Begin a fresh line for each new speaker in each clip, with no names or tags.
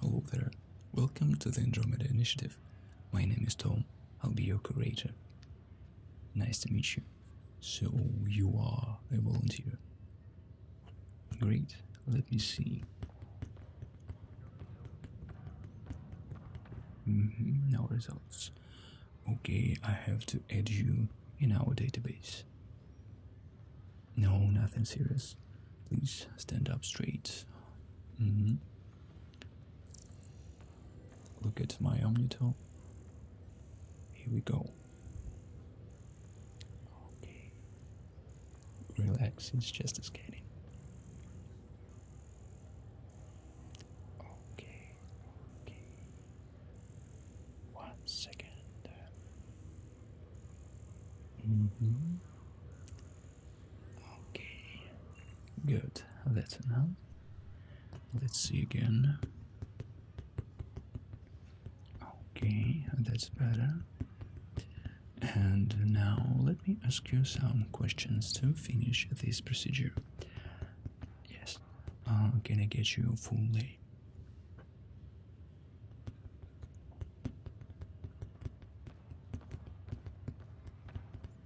Hello there, welcome to the Andromeda Initiative. My name is Tom, I'll be your curator. Nice to meet you. So, you are a volunteer. Great, let me see. Mm now results. Okay, I have to add you in our database. No, nothing serious. Please stand up straight. Mm-hmm. Look at my omnital. Here we go. Okay. Relax, it's just a scanning. One second. Mm-hmm. Okay. Good. That's enough. Let's see again. Okay, that's better. And now let me ask you some questions to finish this procedure. Yes. Uh, can I get your full name?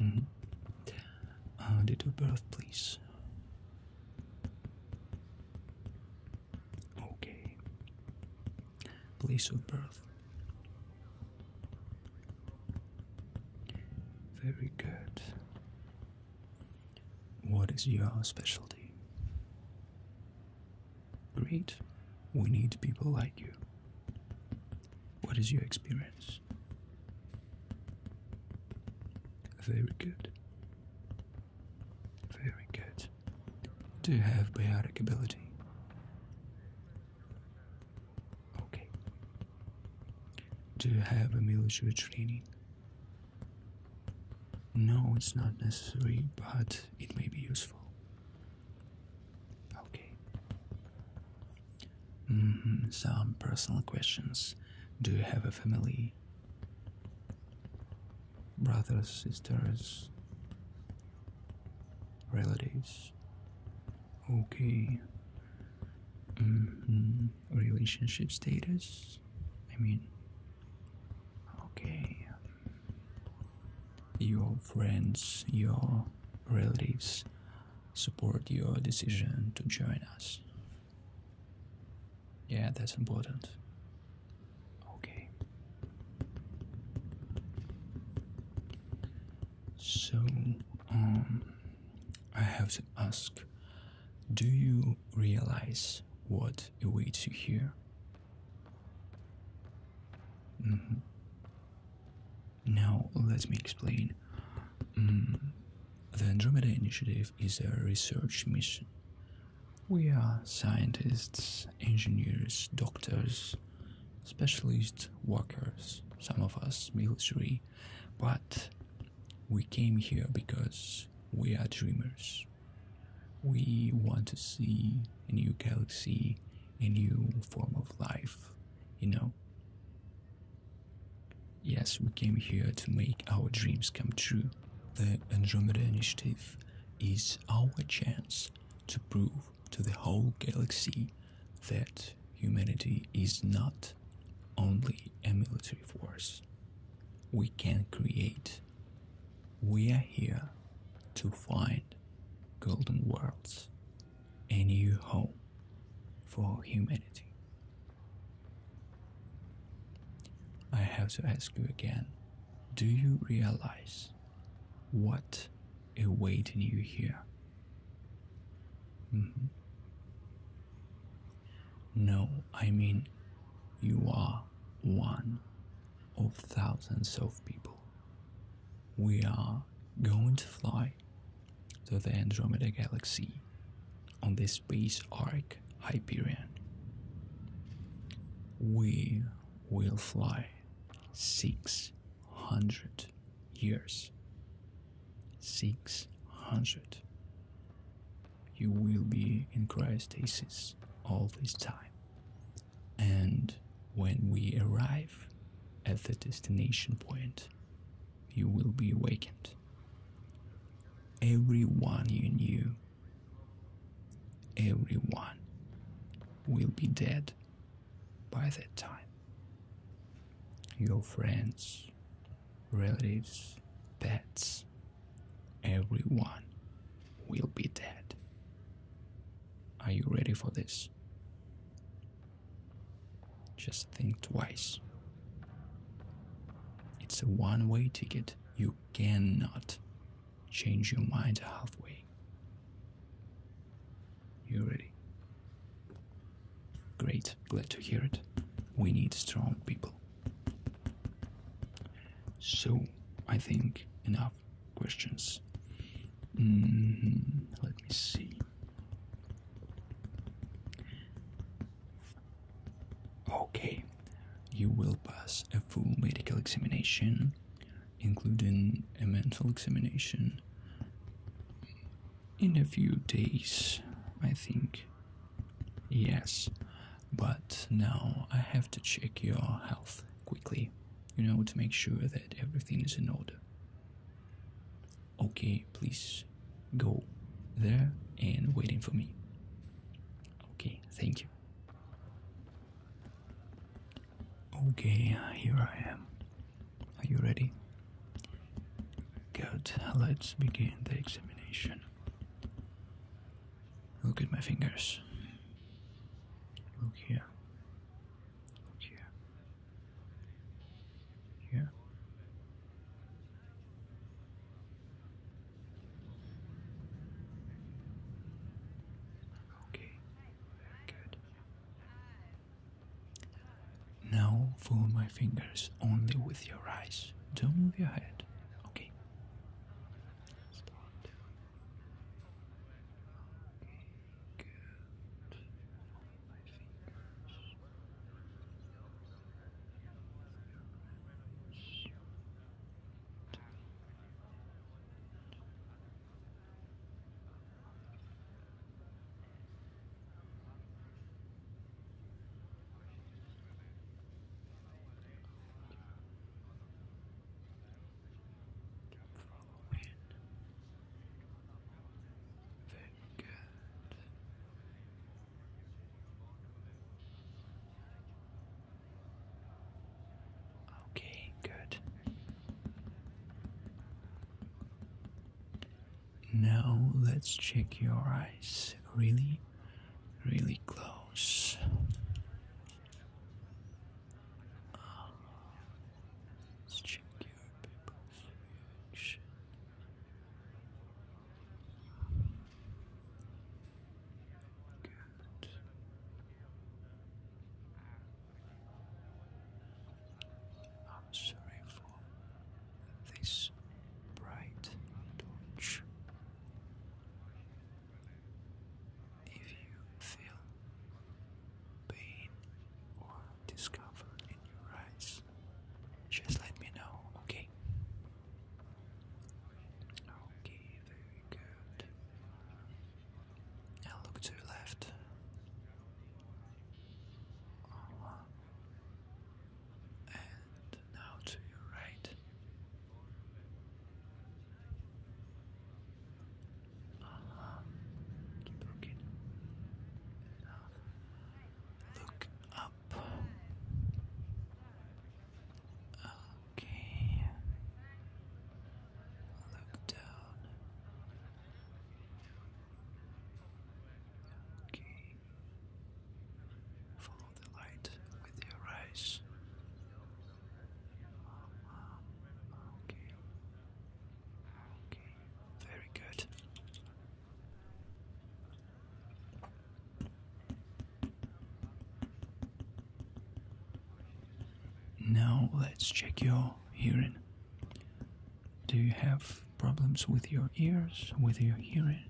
-hmm. uh, date of birth, please. Okay. Place of birth. Very good. What is your specialty? Great. We need people like you. What is your experience? Very good. Very good. Do you have biotic ability? Okay. Do you have a military training? No, it's not necessary, but it may be useful. Okay. Mm-hmm. Some personal questions. Do you have a family? Brothers, sisters, relatives? Okay. -hmm relationship status. I mean, okay, your friends, your relatives support your decision to join us. Yeah, that's important. Okay. So, um, I have to ask do you realize what awaits you here. Mm-hmm. Now, let me explain. Mm, the Andromeda Initiative is a research mission. We are scientists, engineers, doctors, specialists, workers, some of us military, but we came here because we are dreamers. We want to see a new galaxy, a new form of life, you know? Yes, we came here to make our dreams come true. The Andromeda Initiative is our chance to prove to the whole galaxy that humanity is not only a military force we can create. We are here to find golden worlds, a new home for humanity. I have to ask you again do you realize what awaiting you here? Mm-hmm. No, I mean, you are one of thousands of people. We are going to fly to the Andromeda Galaxy on the Space ark Hyperion. We will fly 600 years. 600 you will be in cryostasis all this time. And when we arrive at the destination point, you will be awakened. Everyone you knew, everyone will be dead by that time. Your friends, relatives, pets, everyone will be dead. Are you ready for this? Just think twice. It's a one way ticket. You cannot change your mind halfway. You ready? Great, glad to hear it. We need strong people. So, I think enough questions. Mm-hmm. let me see. Okay, you will pass a full medical examination, including a mental examination, in a few days, I think. Yes, but now I have to check your health quickly, you know, to make sure that everything is in order. Okay, please go there and waiting for me. Okay, thank you. Okay, here I am. Are you ready? Good, let's begin the examination. Look at my fingers. Look here. Look here. Here. Okay. good. Now follow my fingers only with your eyes. Don't move your head. Okay. Very good. Okay, good. Now let's check your eyes really, really close. let's check your pupils I'm sorry for this bright torch. If you feel pain or discomfort in your eyes, just let me know, okay? Okay, very good. Now look to the left and now to your right. Uh-huh. Keep looking. Look up. Okay. Look down. Okay. Follow the light with your eyes. Very good. Now let's check your hearing. Do you have problems with your ears, with your hearing?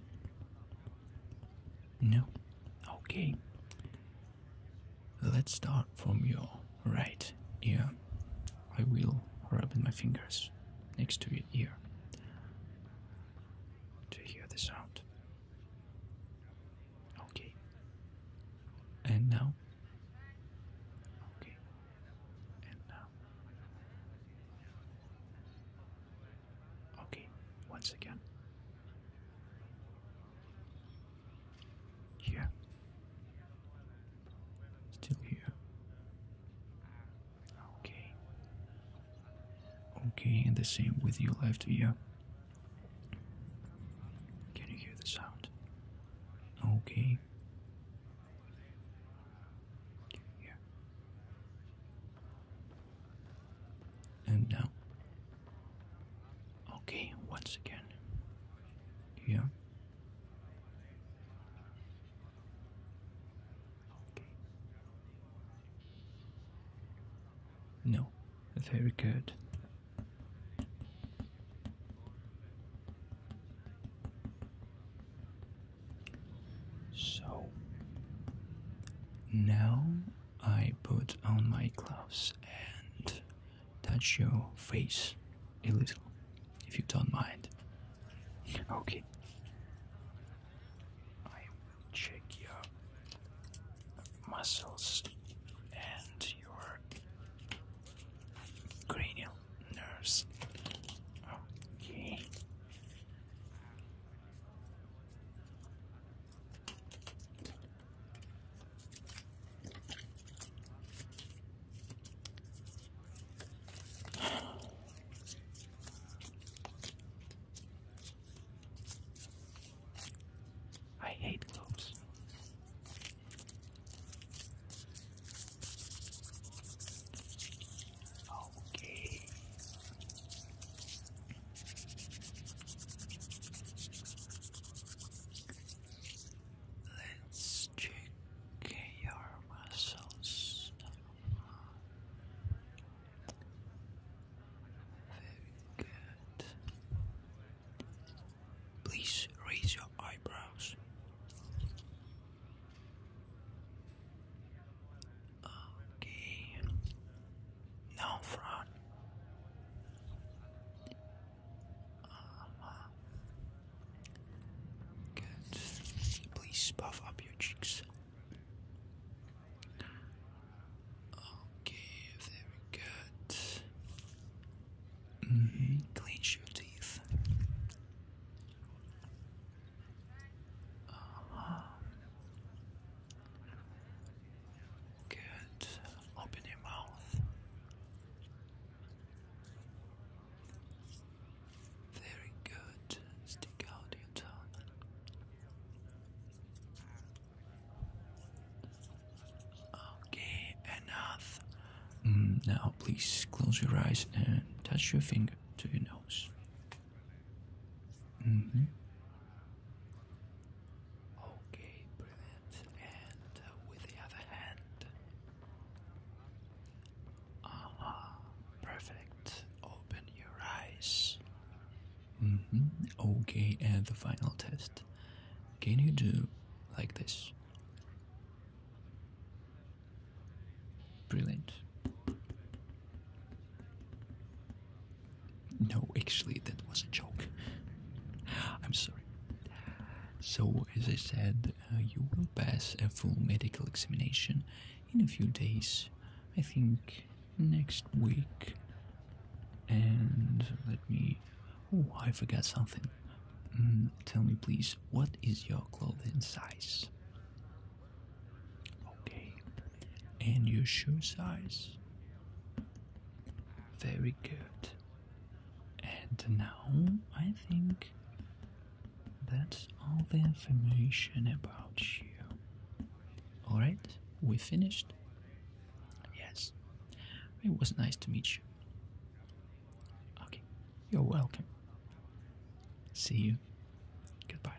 No? Okay. Let's start from your right ear. I will rub in my fingers next to your ear to hear the sound. Okay. And now? Okay. Uh, okay, once again. Here. Still here. Okay. Okay, and the same with your left ear. Can you hear the sound? Okay. Here. And now. Okay, once again. Here. No, very good. So now I put on my gloves and touch your face a little, if you don't mind. Okay. I check your muscles and your cranium nurse. Okay. I hate globes. Okay. Let's check your muscles. Very good. Please raise your eyebrows. Okay. Now front. uh uh-huh. Good. Please puff up your cheeks. Okay, very good. -hmm. Clean your teeth. Uh, good. Open your mouth. Very good. Stick out your tongue. Okay, enough. Mm, now, please close your eyes and touch your finger to your nose. Mm-hmm. Okay, brilliant. And uh, with the other hand. Aha, perfect. Open your eyes. Mm -hmm. Okay, and the final test. Can you do like this? Brilliant. No, actually, that was a joke. I'm sorry. So, as I said, uh, you will pass a full medical examination in a few days. I think next week. And let me. Oh, I forgot something. Mm, tell me, please, what is your clothing size? Okay, and your shoe size? Very good. And now I think that's all the information about you. Alright, we finished? Yes. It was nice to meet you. Okay, you're welcome. See you. Goodbye.